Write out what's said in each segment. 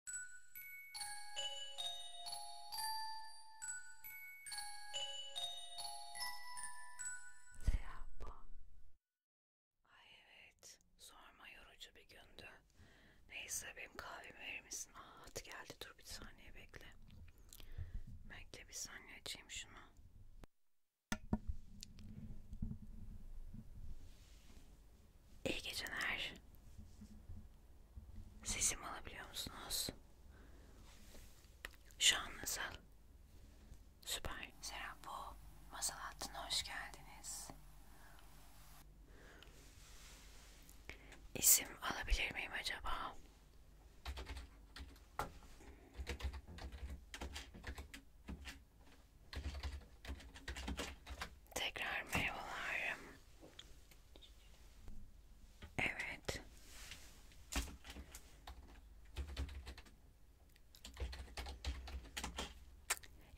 Sehpa. Ay evet. Sorma yorucu bir gündü. Neyse benim kahvemi verir misin? Aa at geldi dur bir saniye bekle. Bekle bir saniye açayım şunu. İyi geceler. Sesimi alabiliyor musunuz? Şu an nasıl? Süper. Serap Masal hattına hoş geldiniz. İsim alabilir miyim acaba? Tekrar merhabalar. Evet.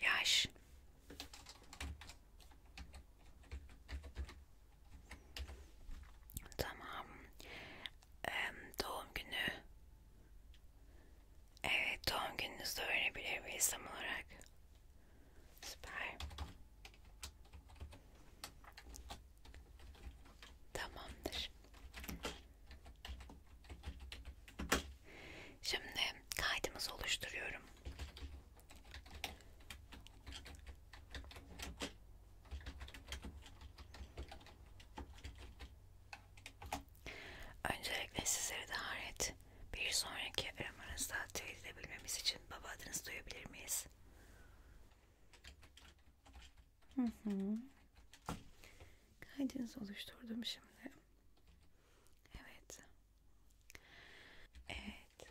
Yaş. Tamam. Ee, doğum günü Evet doğum gününüzde öğrenebilir bir insan olarak. Süper. Tamamdır. Şimdi kaydımızı oluşturuyorum. Öncelikle sizleri de hayret bir sonraki aramanızda teyit edebilmemiz için baba adınızı duyabilir miyiz? Hı hı. Kaydınızı oluşturdum şimdi. Evet. Evet.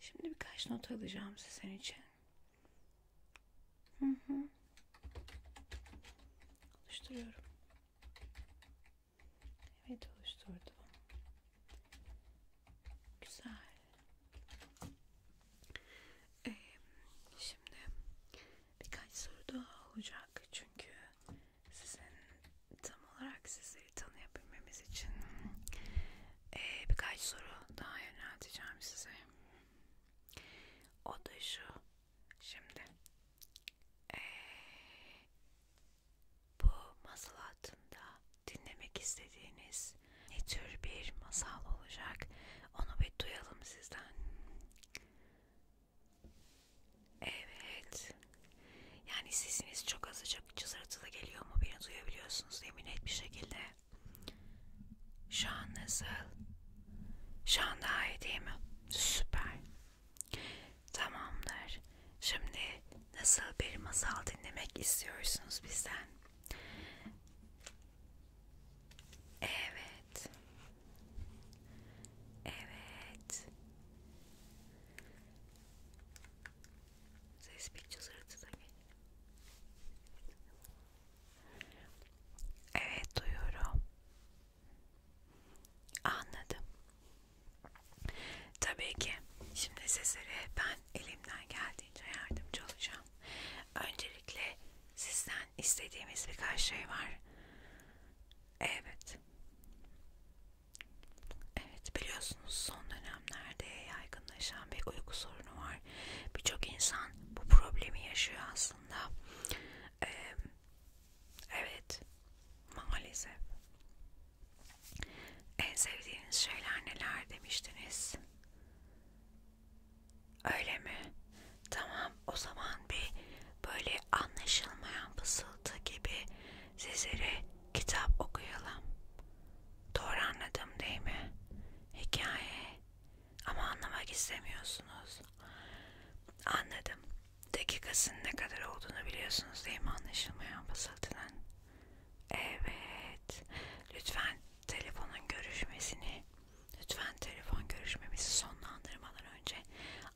Şimdi birkaç not alacağım sizin için. Hı hı. Oluşturuyorum. Evet oluşturdum. Güzel. Ee, şimdi birkaç soru daha olacak çünkü sizin tam olarak sizi tanıyabilmemiz için ee, birkaç soru daha yönelteceğim size. O da şu. Şimdi ee, bu masal altında dinlemek istediğiniz ne tür bir masal olacak onu bir duyalım sizden. Evet. Yani sesiniz çok azıcık cızırtılı geliyor mu? Beni duyabiliyorsunuz değil mi net bir şekilde? Şu an nasıl? Şu an daha iyi değil mi? Süper. Tamamdır. Şimdi nasıl bir masal dinlemek istiyorsunuz bizden? Evet. Evet. Ses pictures da Evet duyuyorum. Anladım. Tabii ki. Şimdi sizlere ben elimden geldiğince yardımcı olacağım. Öncelikle sizden istediğimiz birkaç şey var. Evet. Evet biliyorsunuz son dönemlerde yaygınlaşan bir uyku sorunu var. Birçok insan bu problemi yaşıyor aslında. Ee, Evet, maalesef. En sevdiğiniz şeyler neler demiştiniz? Öyle mi? Tamam, o zaman bir böyle anlaşılmayan fısıltı gibi sizlere kitap okuyalım. Doğru anladım değil mi? Hikaye, ama anlamak istemiyorsunuz. Anladım. Dakikasının ne kadar olduğunu biliyorsunuz değil mi? Anlaşılmayan basıltıdan. Evet. Lütfen telefonun görüşmesini, lütfen telefon görüşmemizi sonlandırmadan önce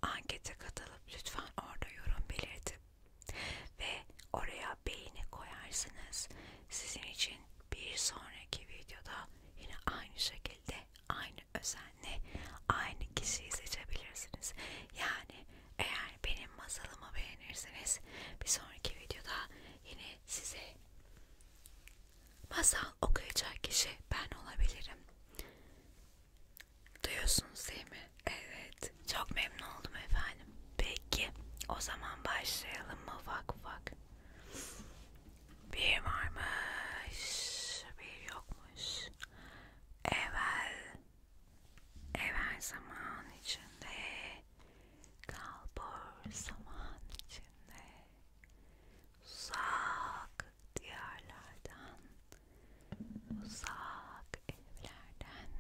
ankete katılıp lütfen orada yorum belirtip ve oraya beğeni koyarsınız. Sizin için bir sonraki videoda yine aynı şekilde aynı aynı özenle aynı kişiyi seçebilirsiniz. Yani eğer benim masalımı beğenirseniz bir sonraki videoda yine size masal okuyacak kişi ben olabilirim. Duyuyorsunuz değil mi? Evet. Çok memnun oldum efendim. Peki o zaman başlayalım mı ufak ufak? Bir varmış, bir yokmuş. Evvel, evvel zaman içinde, kalbur zaman içinde, uzak diyarlardan, uzak evlerden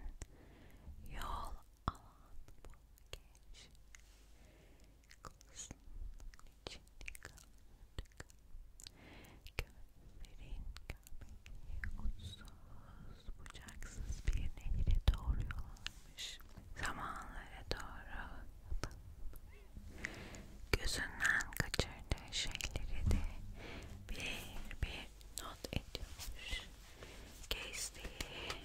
yol alan bu genç. Kılısının içini kaldırdık Gözlerin göbeği uçsuz bucaksız bir nehre doğru yol almış Zamanlara doğru Gözünden kaçırdığı şeyleri de bir bir not ediyormuş Gezdiği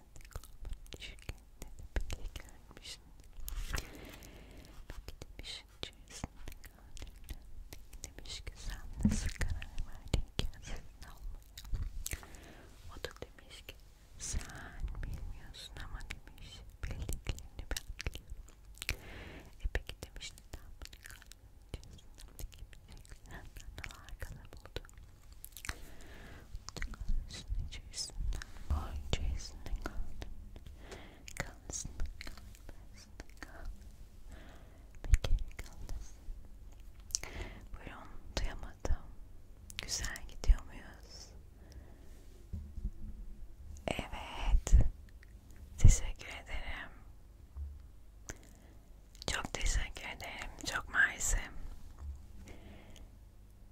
öncesinde kulübün şirketleri bile görmüşsün. Belki demiş içerisinde gördüğünden demiş ki sen nasıl karar verdin ki sizin olmaya? O da demiş ki sen bilmiyorsun ama demiş bildiklerini ben biliyorum. E peki demiş neden bunu kalmayacağız? Kimse senden daha arkada buldu. Kalsın içerisinde, boy içerisinde kaldın. Kalsın, kalsın, kalsın. Bir kere kalsın. Buyurun, duyamadım. Güzel gidiyor muyuz? Evet. Teşekkür ederim. Çok teşekkür ederim. Çok mersi.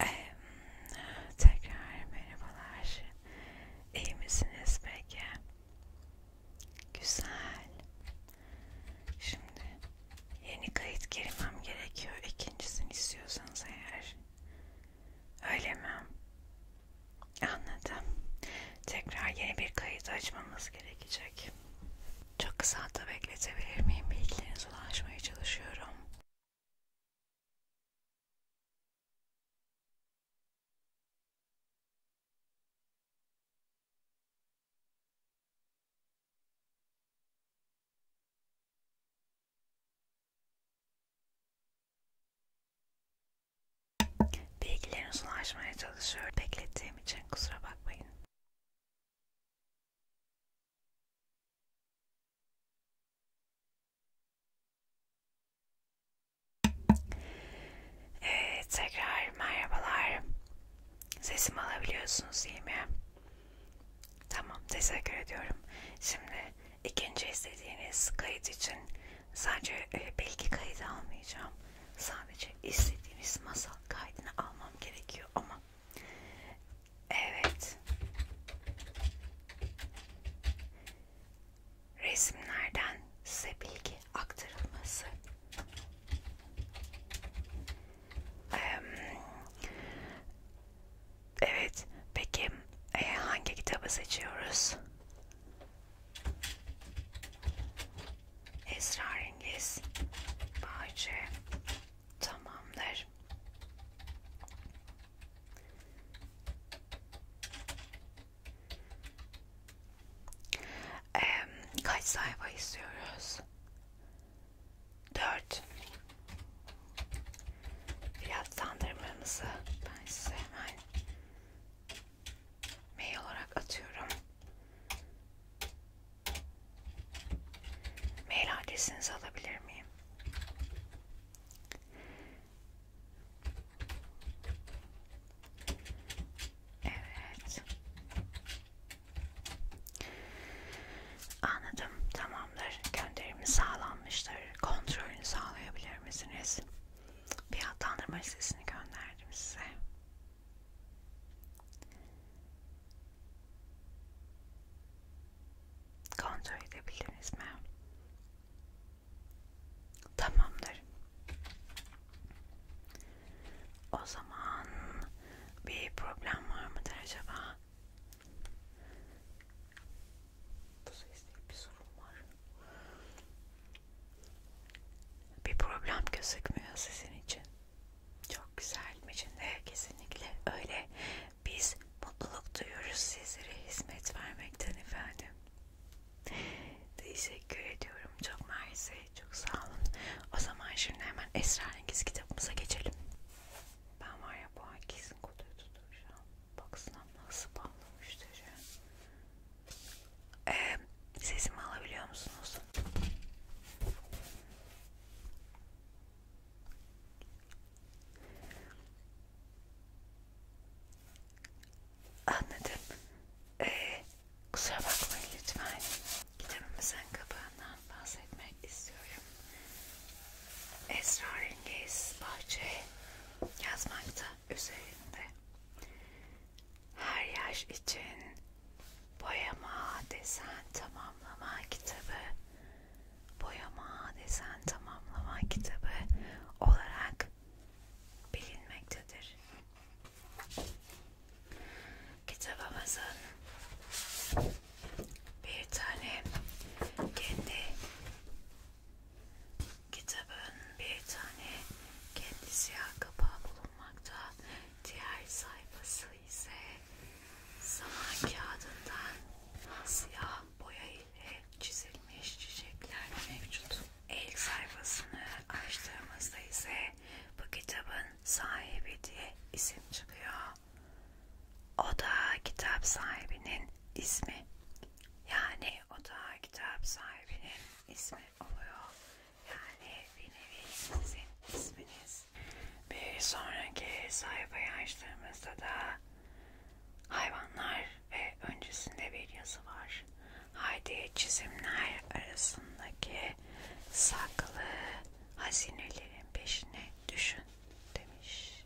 ee, tekrar merhabalar. İyi misiniz peki? Güzel. Şimdi yeni kayıt girmem gerekiyor. İkincisini istiyorsanız eğer. Öyle mi? Anladım. Tekrar yeni bir kayıt açmamız gerekecek. Çok kısa da bekletebilir miyim? Bilgilerinize ulaşmaya çalışıyorum. Bilgilerinizi ulaşmaya çalışıyorum. Beklettiğim için kusura bakmayın. Evet tekrar merhabalar. Sesimi alabiliyorsunuz değil mi? Tamam teşekkür ediyorum. Şimdi ikinci istediğiniz kayıt için sadece e, bilgi kaydı almayacağım. Sadece istediğiniz masal kaydını almam gerekiyor ama evet resimlerden size bilgi aktarılması Evet peki e, hangi kitabı seçiyoruz? Esrarengiz Bahçe tamamdır. Ee, kaç sayfa istiyoruz? 4 Biraz sandırmamızı ben size hemen mail olarak atıyorum. Mail adresinizi alabilir miyim? Evet. Anladım. Tamamdır. Gönderimi sağlanmıştır. Kontrolünü sağlayabilir misiniz? Fiyatlandırma listesini gönderdim size. Kontrol edebiliriz mi? Tamamdır. O zaman bir problem var mıdır acaba? Bu sesle bir sorun var. Bir problem gözükmüyor sizin için. Çok güzel içinde kesinlikle öyle. Biz mutluluk duyuyoruz sizlere hizmet vermekten efendim. Teşekkür ediyorum. Çok mersi. Çok sağ olun. O zaman şimdi hemen Esrarengiz kitabımıza geçelim. Ben var ya bu ay kesin kutuyu tutturacağım. Baksana nasıl bağlamış diyeceğim. Ee, sesimi alabiliyor musunuz? Anladım. Ee, kusura bakmayın lütfen. Kitabımızın kapağından bahsetmek istiyorum. Esrarengiz bahçe yazmakta üzerinde. Her yaş için boyama, desen, tamamlama kitabı boyama, desen, tamamlama kitabı olarak bilinmektedir. Kitabımızın bir tane kendi kitabın bir tane kendi siyah kapağı bulunmakta. Diğer sayfası ise zaman kağıdından siyah boya şöyle çizilmiş çiçekler mevcut. El sayfasını açtığımızda ise bu kitabın sahibi diye isim çıkıyor. O da kitap sahibinin ismi. Yani o da kitap sahibinin ismi oluyor. Yani bir nevi sizin isminiz. Bir sonraki sayfayı açtığımızda da hayvanlar ve öncesinde bir yazı var. Haydi çizimler arasındaki saklı hazinelerin peşine düşün demiş.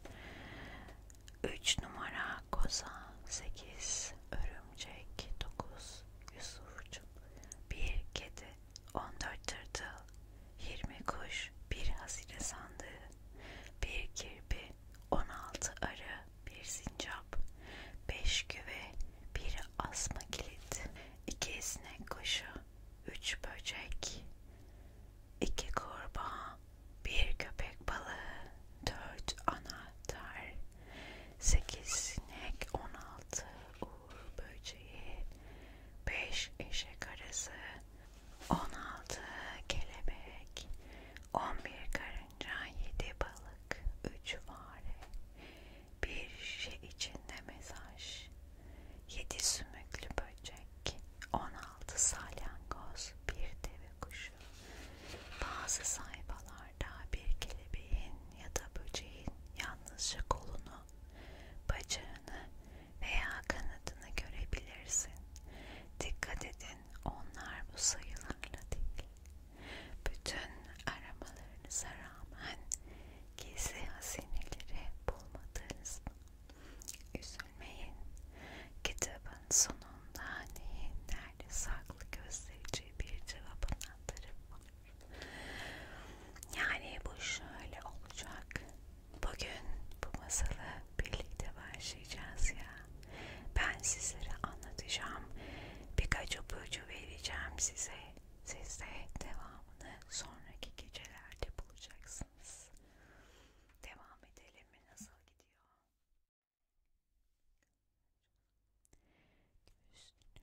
3 numara koza, 8 örümcek, 9 yusurcuk, 1 kedi, 14 tırtıl, 20 kuş, 1 hazine sandığı, 1 kirpi, 16 arı, bir sincap, beş güve, bir asma kilit, iki sinek kuşu, üç böcek, iki kurbağa, bir köpek balığı, dört anahtar, sekiz sinek, on altı uğur böceği, beş eşek arası, 16 kelebek, 11 karınca, 7 balık, 3 fare, bir şişe içinde mesaj, 7 sümüklü böcek, 16 salyangoz, bir deve kuşu. Bazı sayfalarda bir kelebeğin ya da böceğin yalnızca kolunu, bacağını veya kanadını görebilirsin. Dikkat edin onlar bu sayılarla değil. Bütün aramalarınıza rağmen gizli hazineleri bulmadınız mı? Üzülmeyin. Kitabın sonunda neyin nerede saklı gösterici bir cevap anahtarı var. Yani bu şöyle olacak. Bugün bu masalı birlikte başlayacağız ya. Ben sizlere anlatacağım. Birkaç ipucu vereceğim size. Siz de devamını sonraki gecelerde bulacaksınız. Devam edelim mi? Nasıl gidiyor? Üstünü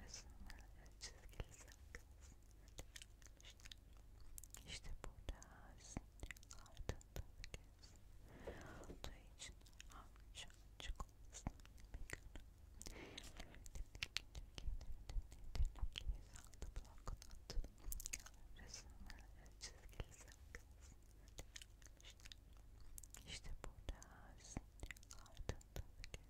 Resimlerle çizgili sakız işte, işte burada ağzın ardında kez olduğu için avuç açık olmasın işte burada ağzın ardında kez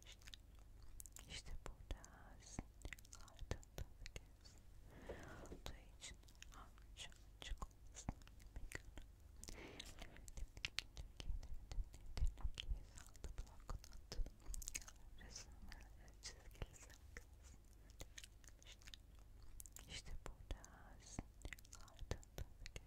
İşte, işte burada altında gezsin. Aldığı için anca açık olsun. İşte burada altında gezsin.